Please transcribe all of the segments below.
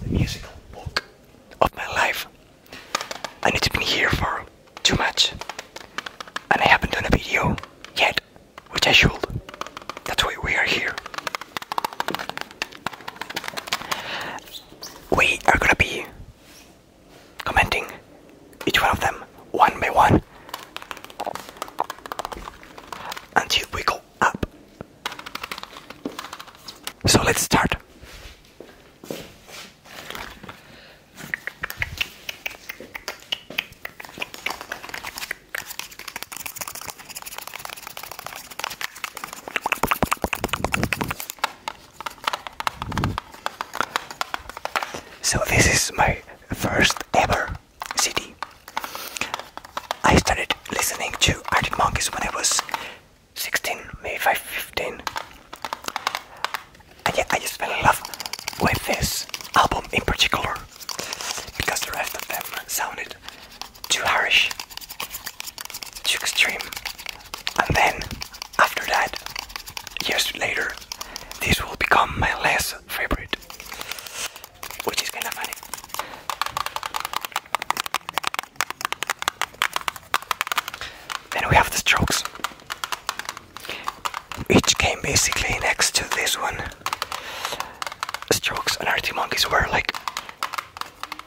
The musical walk of my life, and it's been here for too much, and I haven't done a video yet, which I should. That's why we are here. We are gonna be commenting each one of them one by one until we go up. So let's start. So this is my first ever CD. I started listening to Arctic Monkeys when I was 16, maybe 15. And yeah, I just fell in love with this album in particular because the rest of them sounded too harsh, too extreme. And then after that, years later, this will become my less favorite, which is kind of funny. Then we have the strokes. Each came basically next to this one. Strokes and Arctic Monkeys were like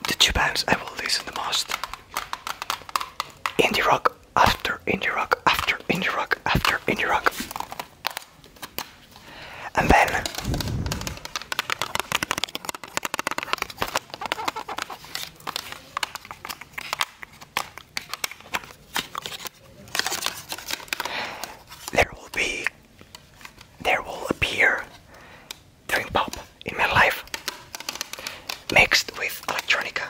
the two bands I will listen the most. Indie rock after indie rock, after indie rock, after indie rock. And then there will be there will appear dream pop in my life mixed with electronica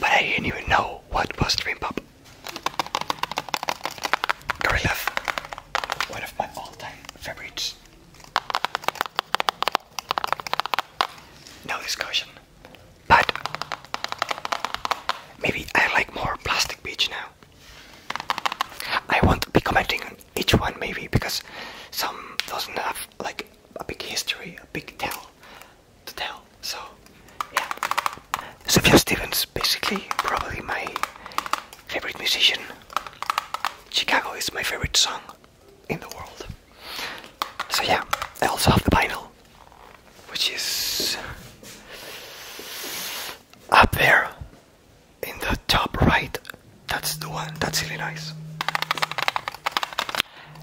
but I didn't even know what was Dream Pop. Gorilla, one of my all-time favorites. No discussion. But maybe I like more Plastic Beach now. I won't be commenting on each one maybe because some doesn't have like a big history, a big tell to tell. So yeah, Sophia Stevens, basically probably my favorite musician. Chicago is my favorite song in the world. So yeah, I also have the vinyl, which is up there in the top right that's the one. That's really nice.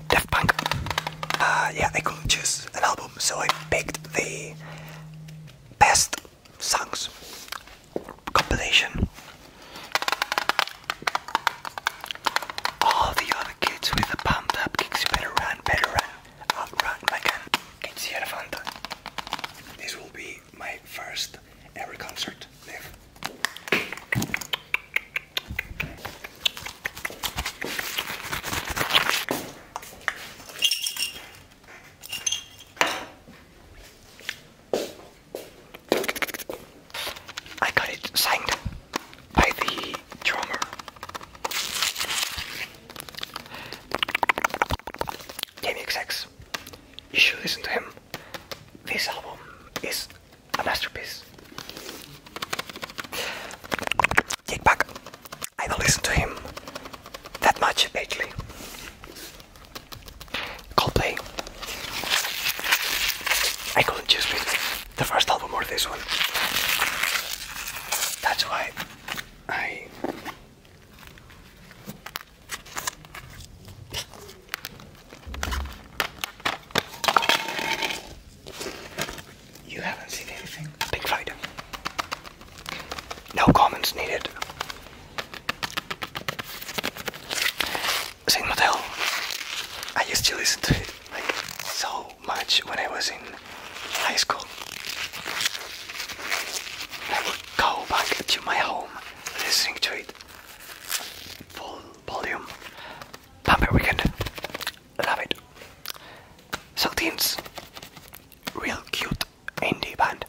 Daft Punk. Uh, yeah, I couldn't choose an album, so I picked the best songs compilation. All the other kids with the pumped up kicks, you better run, better run, outrun my gun. Kids here, Fanta. This will be my first ever concert live. I got it signed by the drummer. Jamie XX. You should listen to him. This album is a masterpiece. Kick I don't listen to him that much lately. Coldplay. I couldn't choose between the first album or this one. That's why I you haven't seen anything. Big fighter. No comments needed. Saint Motel. I used to listen to it like so much when I was in high school. I would go back to my home listening to it full volume. Vampire Weekend. Love it. Saltines. Real cute indie band.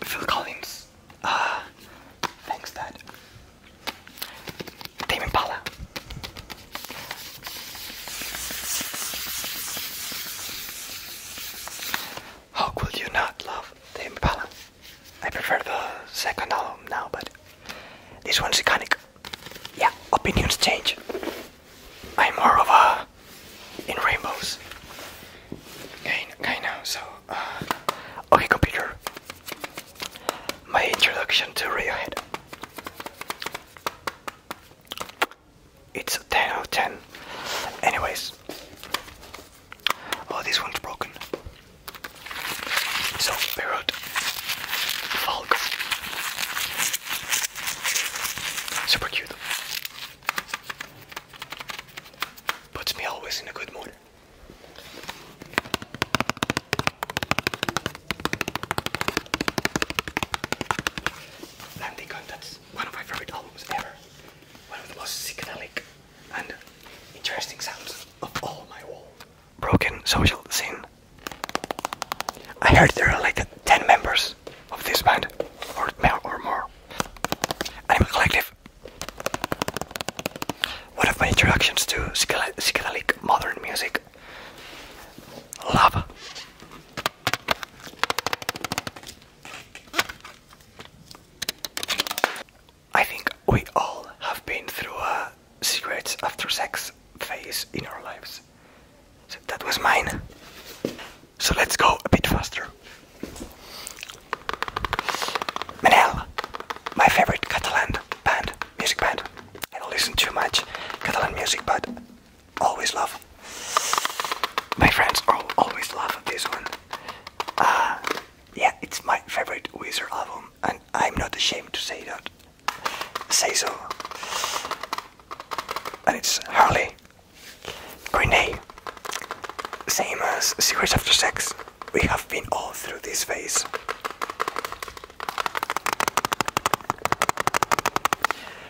Phil Collins. Uh, thanks, Dad. Tame Impala. How could you not love Tame Impala? I prefer the second album now, but this one's iconic. Yeah, opinions change. I'm more of a in rainbows guy, guy now, so. Uh, okay, computer. My introduction to Radiohead. It's 10 out of 10. Anyways, Oh, this one's broken. So, Parrot, Falco. Super cute. Puts me always in a good mood. Landing Gun, one of my favorite albums ever. One of the most psychedelic and interesting sounds of all my wall broken social scene. I heard there are like 10 members of this band, or, more. Animal Collective. One of my introductions to psychedelic modern music. Love. I think we all have been through a cigarettes after sex phase in our lives. that was mine. So let's go a bit faster. Manel, my favorite Catalan band, music band. I don't listen too much Catalan music, but always love. My friends all, always love this one. Uh, yeah, it's my favorite Weezer album and I'm not ashamed to say that. Say so. And it's Harley Grenade. Same as Secrets After Sex. We have been all through this phase.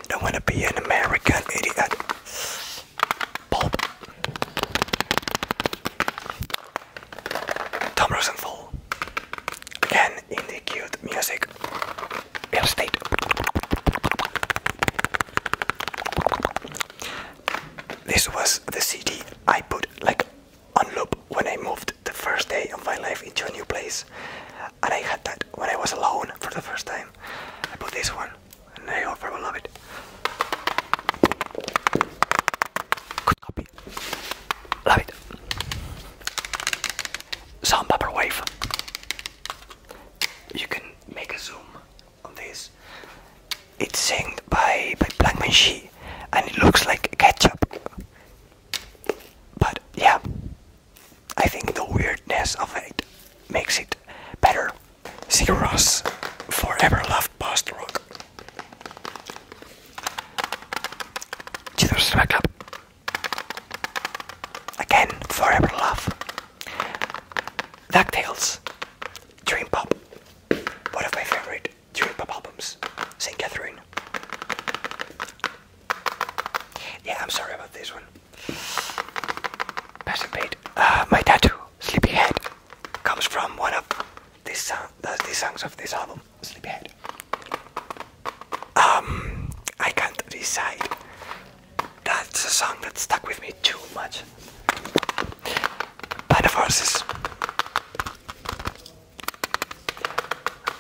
Don't wanna be an American idiot. Pulp. Tom Rosenthal. Again, in the cute music. Real state. This was the CD I put like on loop when I moved the first day of my life into a new place. And I had that when I was alone for the first time. I put this one and I hope I will love it. Good copy. Love it. Sound Vaporwave. You can make a zoom on this. It's sung by, by Blankman She and it looks like ketchup. But yeah, I think the weirdness of it makes it better. See Ross forever love left past the rock. Jesus, back up. Again, forever love. DuckTales, Dream Pop, one of my favorite Dream Pop albums, St. Catherine. Yeah, I'm sorry about this one. Passing paid. Uh, my tattoo, Sleepyhead, comes from one of this song, the, the songs of this album, Sleepyhead. Um, I can't decide. That's a song that stuck with me too much. By the forces.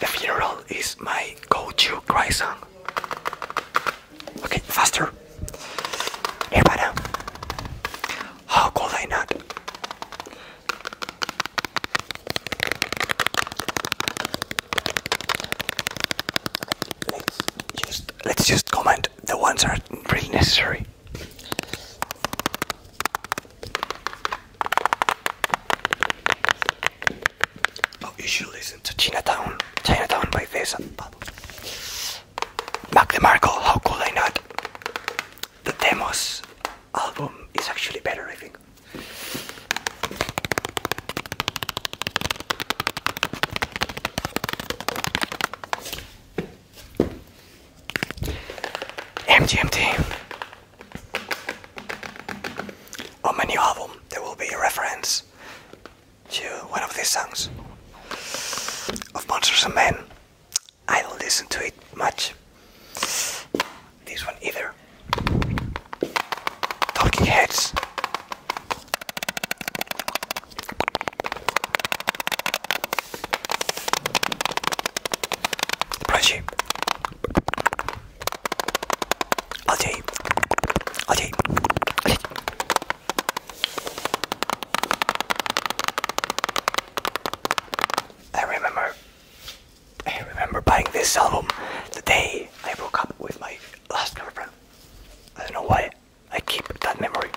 The funeral is my go-to cry song. Okay, faster. Nirvana. How could I not? Let's just comment the ones that are really necessary. Oh, you should listen to Chinatown, Chinatown by this. Mac DeMarco, how could I not? the Demos album is actually better, I think. MGMT. On my new album, there will be a reference to one of these songs of Monsters and Men I don't listen to it much. This one either. Talking Heads. Brushy. Ajay. Ajay. I remember I remember buying this album the day I broke up with my last girlfriend. I don't know why I keep that memory.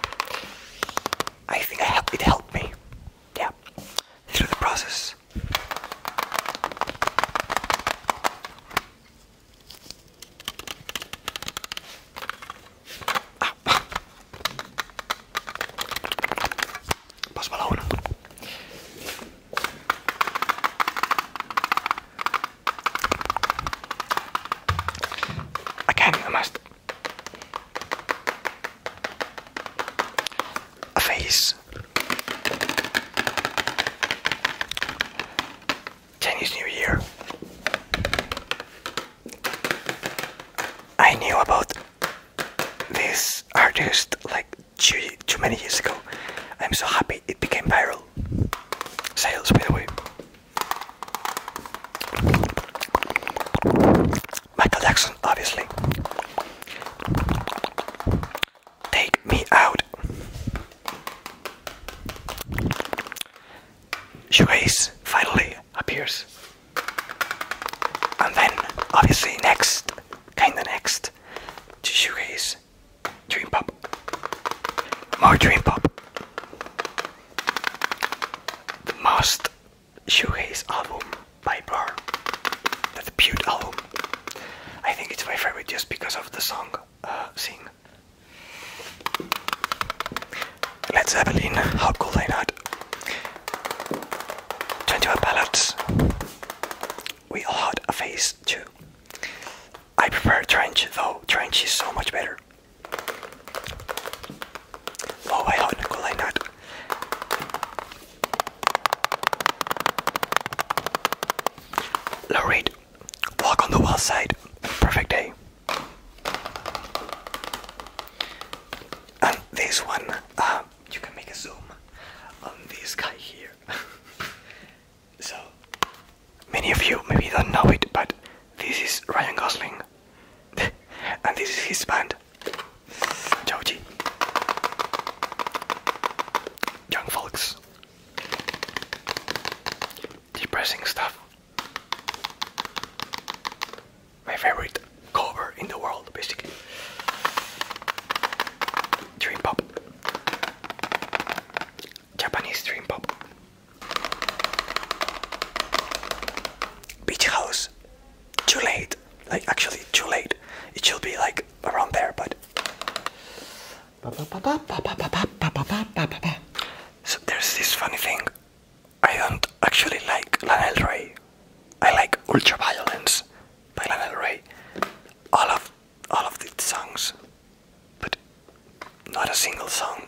I think it helped me. Yeah. Through the process. Ah. Pasó a la una. Again, I must. A face. Chinese New Year. I knew about this artist like too many years ago. I'm so happy it became viral. Sales, by the way. Michael Jackson, obviously. Take me out. You finally, appears. And then, obviously, next, kinda next, to shoegaze, dream pop, more dream pop. The most shoegaze album by Blur, the debut album. I think it's my favorite just because of the song uh, "Sing." Led Zeppelin, how cool I not? 21 ballots. We all had a face too. I prefer trench though, trench is so much better. Oh my god, cool like that. Lorraine, walk on the west side. Perfect day. And um, this one, um, you can make a zoom on this guy here. so, many of you maybe don't know it, but this is Ryan Gosling, and this is his band, Joji. Young folks, depressing stuff my favorite cover in the world, basically. Dream pop. Japanese dream pop. Beach house. Too late. Like actually too late. It should be like around there, but so there's this funny thing. I don't actually like Lana Del Rey. I like Ultraviolence by Lana Del Rey. All of all of these songs, but not a single song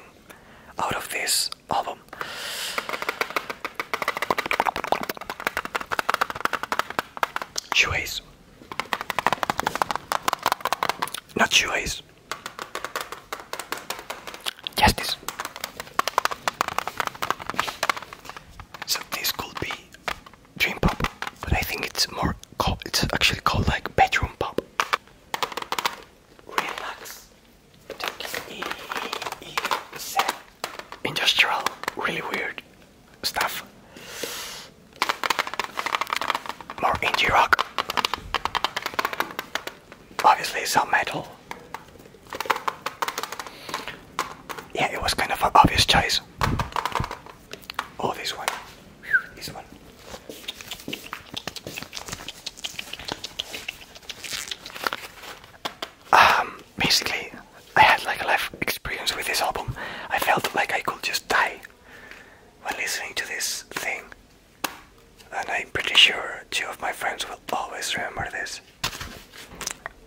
out of this album. Choice, Not choice. Justice. So this could be dream pop, but I think it's more called, it's actually called like bedroom pop. Relax, industrial, really weird stuff. More indie rock obviously it's some metal. Yeah, it was kind of an obvious choice. Oh, this one. This one. Um, basically, I had like a life experience with this album. I felt like I could just die when listening to this thing. And I'm pretty sure two of my friends will always remember this.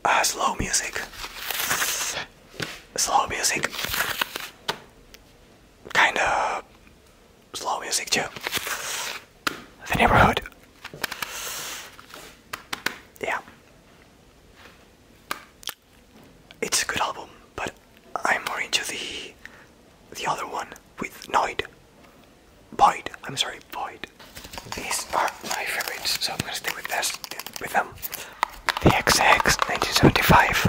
Ah, slow music. Slow music. Kinda slow music too. The neighborhood. Yeah. It's a good album, but I'm more into the the other one with Noid. Void. I'm sorry, Void. These are my favorites, so I'm gonna stay with this, with them. The XX 1975.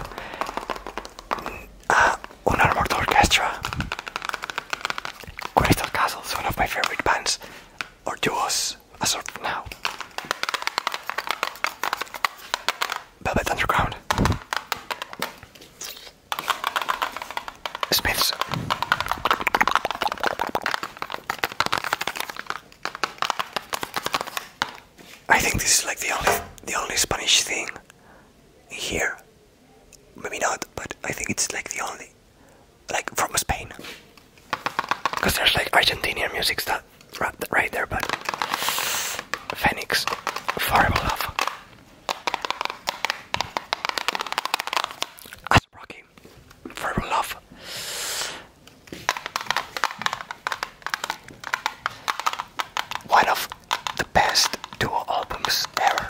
Uh, Unarmored Orchestra. Crystal Castle is one of my favorite bands, or duos, as of now. Velvet Underground. Smith's. I think this is like the only the only Spanish thing here. Maybe not, but I think it's like the only like from Spain. Because there's like Argentinian music stuff right, there, but Phoenix, forever love. As a Rocky, forever love. One of the best duo albums ever.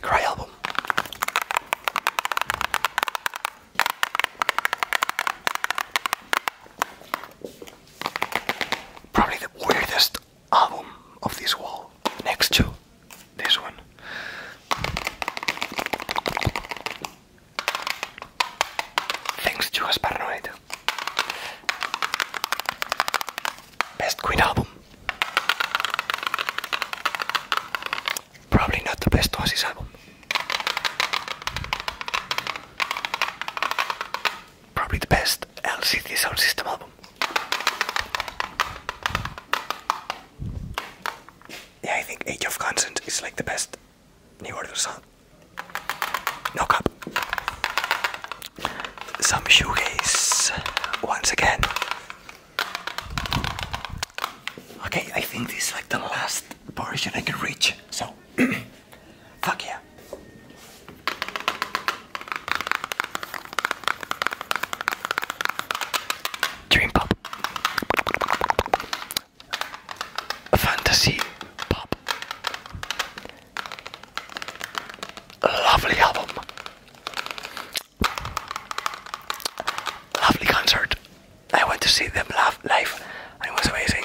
Cry album probably the weirdest album of this wall next to this one. Thanks to us Best Queen album. Probably not the best Oasis album probably the best LCD Sound System album. Yeah, I think Age of Consent is like the best New Order song. No cup. Some shoegaze once again. Okay, I think this is like the last portion I can reach, so. Fuck yeah. Dream pop. Fantasy pop. Lovely album. Lovely concert. I went to see them live. It was amazing.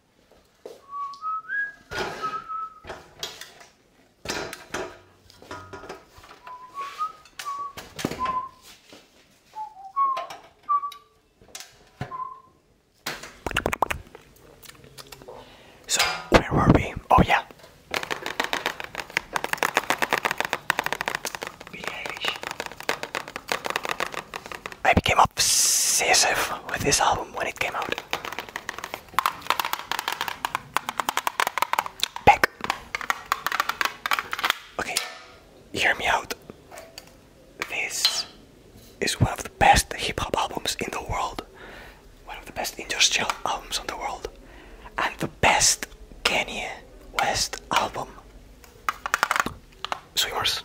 So, where were we? Oh, yeah. I became obsessive with this album when it came out. Back. Okay, hear me out. This is one of the best hip hop albums in the world, one of the best industrial albums in the world, and the best Kanye West album. Swimmers.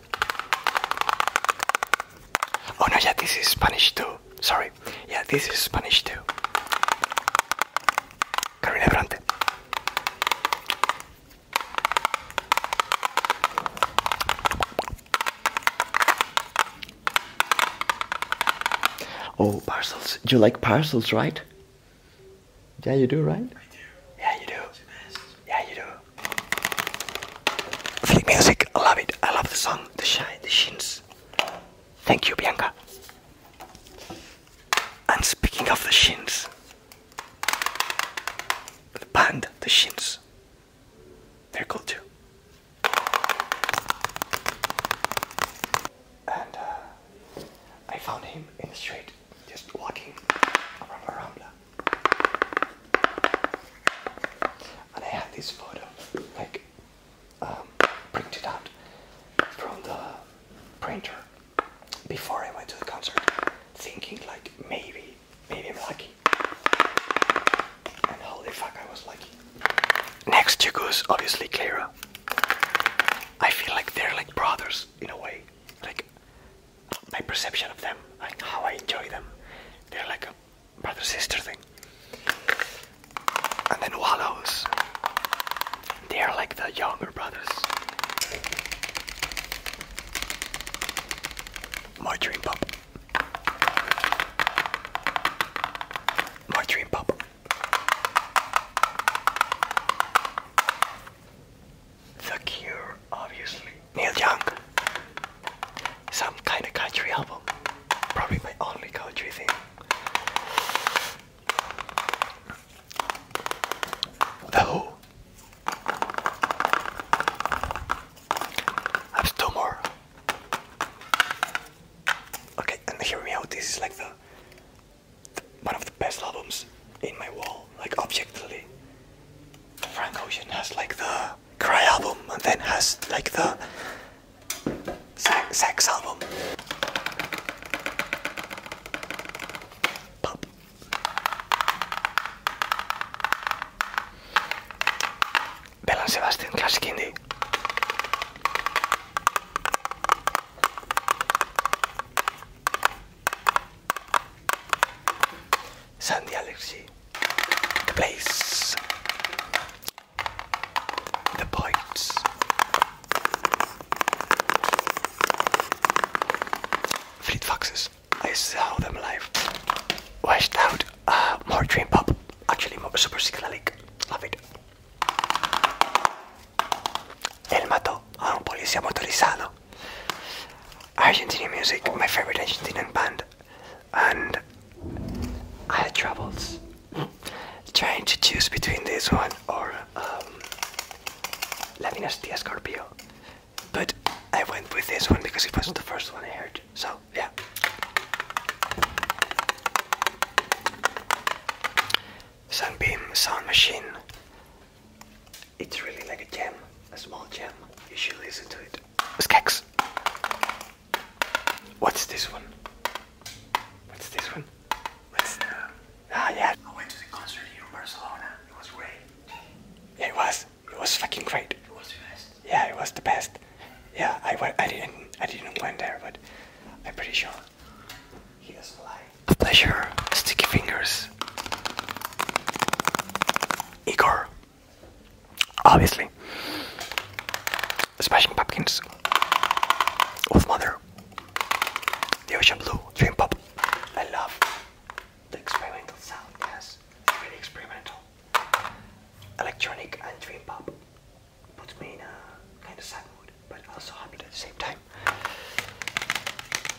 Oh no, yeah, this is Spanish too. Sorry. Yeah, this is Spanish too. Carolina Brante. Oh, parcels. You like parcels, right? Yeah, you do, right? I do. Yeah, you do. Yeah, you do. Flick music, I love it. I love the song, the shine, the shins. Thank you, Bianca. And speaking of the shins, the band, the shins, they're cool too. And uh, I found him in the street, just walking around and I had this photo, like um, printed out from the printer before I went to the concert, thinking like maybe, maybe I'm lucky. And holy fuck, I was lucky. Next to is obviously Clara. I feel like they're like brothers in a way. Like my perception of them, like how I enjoy them. They're like a brother sister thing. And then Wallows. They are like the younger brothers. My dream pop. My dream pop. The Cure, obviously. Neil Young. Some kind of country album. Probably my only country thing. The I have two more. Okay, and hear me out. This is like the one of the best albums in my wall, like objectively. Frank Ocean has like the Cry album and then has like the sax album. Pop. Bell Sebastian Classic Indie. Sandy Alexi. The place. The points. Fleet Foxes. I saw them live. Washed out. Uh, more dream pop. Actually, more super psychedelic. Love it. El mató a un policía motorizado. Argentinian music, my favorite Argentinian band and I had troubles trying to choose between this one or um, La Dinastía Scorpio. But I went with this one because it was the first one I heard. So, yeah. Sunbeam Sound Machine. It's really like a gem, a small gem. You should listen to it. Skex. What's this one? What's this one? What's the... Ah, yeah. I went to the concert here in Barcelona. It was great. Yeah, it was. It was fucking great. It was the best. Yeah, it was the best. Yeah, I, I didn't I didn't went there, but I'm pretty sure. He doesn't lie. Pleasure. Sticky fingers. Igor. Obviously. Smashing Pumpkins. Wolf Mother. The Ocean Blue. Dream Pop. I love the experimental sound, yes. It's really experimental. Electronic and Dream Pop puts me in a kind of sad mood, but also happy at the same time.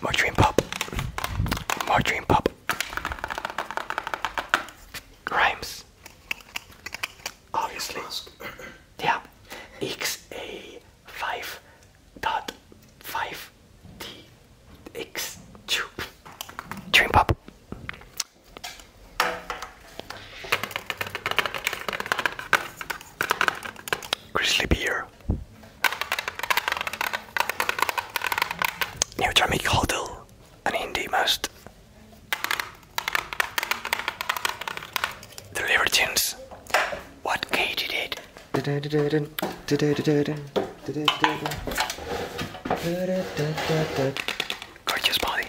More Dream Pop. More Dream Pop. Grimes. Obviously. yeah. XA5.5DX. Dream Pop. Grizzly Beer. Neutramic Hoddle, an indie most the Libertines. What Katie did. Gorgeous body.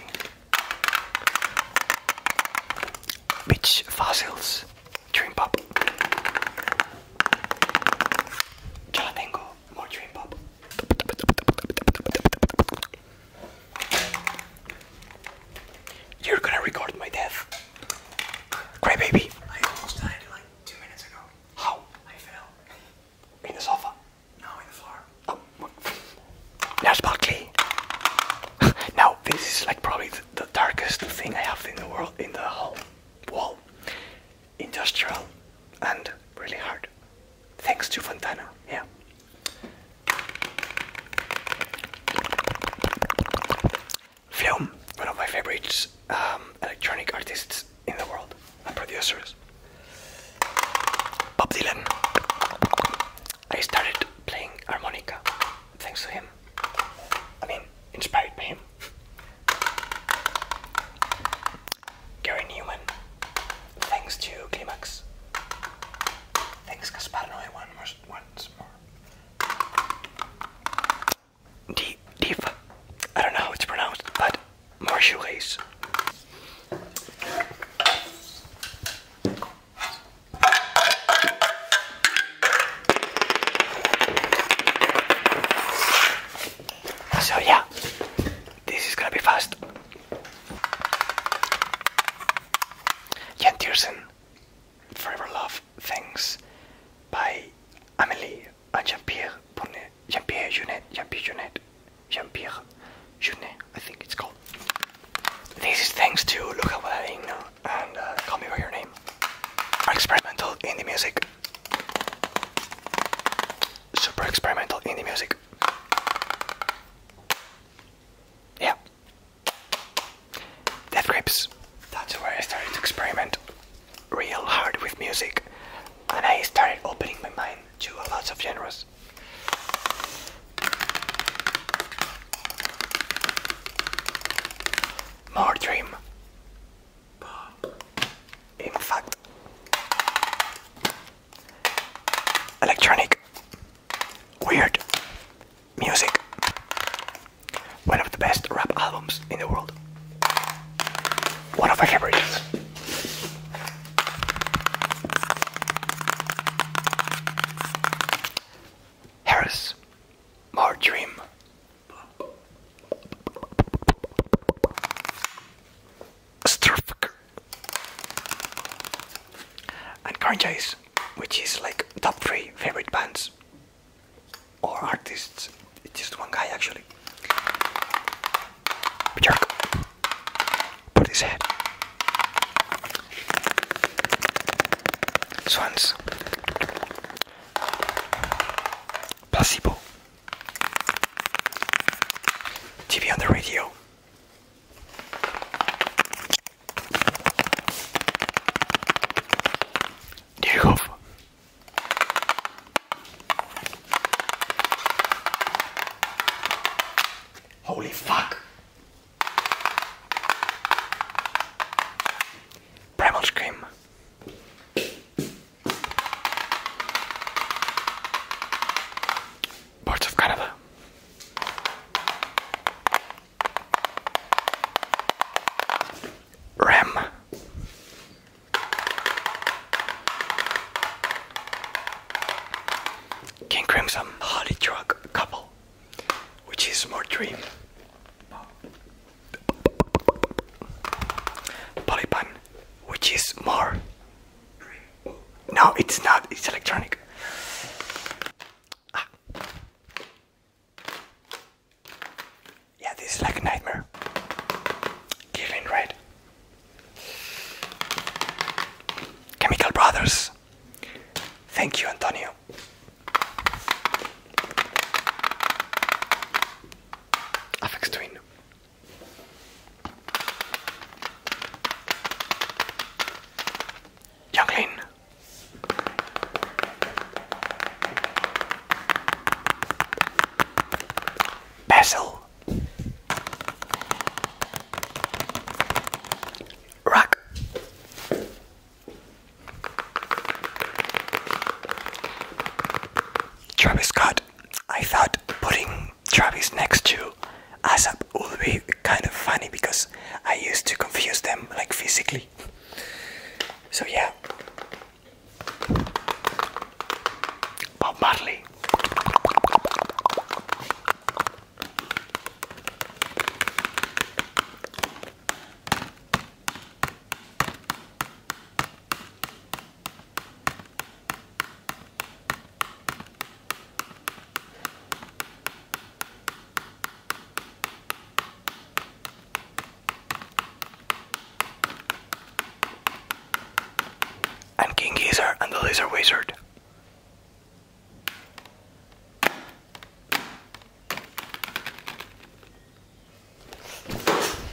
Beach fossils. Dream pop. Ya la tengo. More dream pop. You're gonna record my death. Great baby. I almost died How? In the sofa? No, in the floor. Oh, Lars now, this is like probably the, the darkest thing I have in the world, in the whole wall industrial and really hard. Thanks to Fontana, yeah. Film, one of my favorite um, electronic artists in the world and producers. Bob Dylan. I started playing harmonica thanks to him. I mean, inspired by him. Gary Newman. Thanks to Climax. Thanks Gaspar Noé one more, once more. D Deep. I don't know how it's pronounced, but more So yeah, this is gonna be fast. Jan Tiersen, Forever Love, Thanks, by Amélie and Jean-Pierre Bonnet, Jean-Pierre Junet, Jean-Pierre Junet, Jean-Pierre Junet, I think it's called. This is thanks to Look at what I ain't now and uh, Call Me By Your Name. Super experimental indie music. Super experimental indie music. Yeah. Death Grips. That's where I started to experiment real hard with music. And I started opening my mind to a lot of genres. More dream. In fact, electronic, weird music, one of the best rap albums in the world, one of my favorites. Harris, More Dream. Starfucker. And Current Chase, which is like top three favorite bands or artists. It's just one guy actually. Bjork. Put his head. Swans. Placebo. TV on the radio. Dear Hope. Holy fuck. Primal Scream. Birds of Canada. Ram. King Crimson, Holly Drug couple, which is more dream. Polypan, which is more no, it's not. It's electronic. Ah. Yeah, this is like a nightmare. Killing right. Chemical Brothers. Thank you, Antonio. Apex Twin. Younglin. Basil. Rock. Travis Scott. I thought putting Travis next to ASAP will be kind of funny because I used to confuse them like physically. So yeah. Bob Marley. And King Geezer and the Laser Wizard.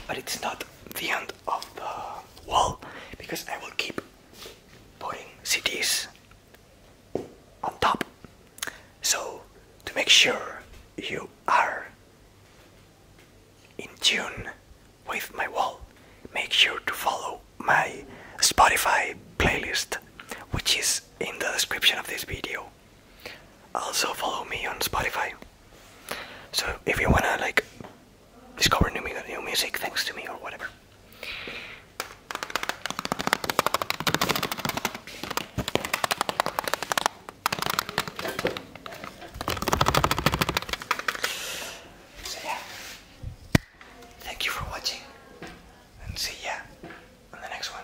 But it's not the end of the wall because I will keep putting CDs on top. So, to make sure you are in tune with my wall, make sure to follow my Spotify playlist, which is in the description of this video. Also, follow me on Spotify. So, if you wanna like discover new, new music thanks to me or whatever. thank you for watching and see ya on the next one.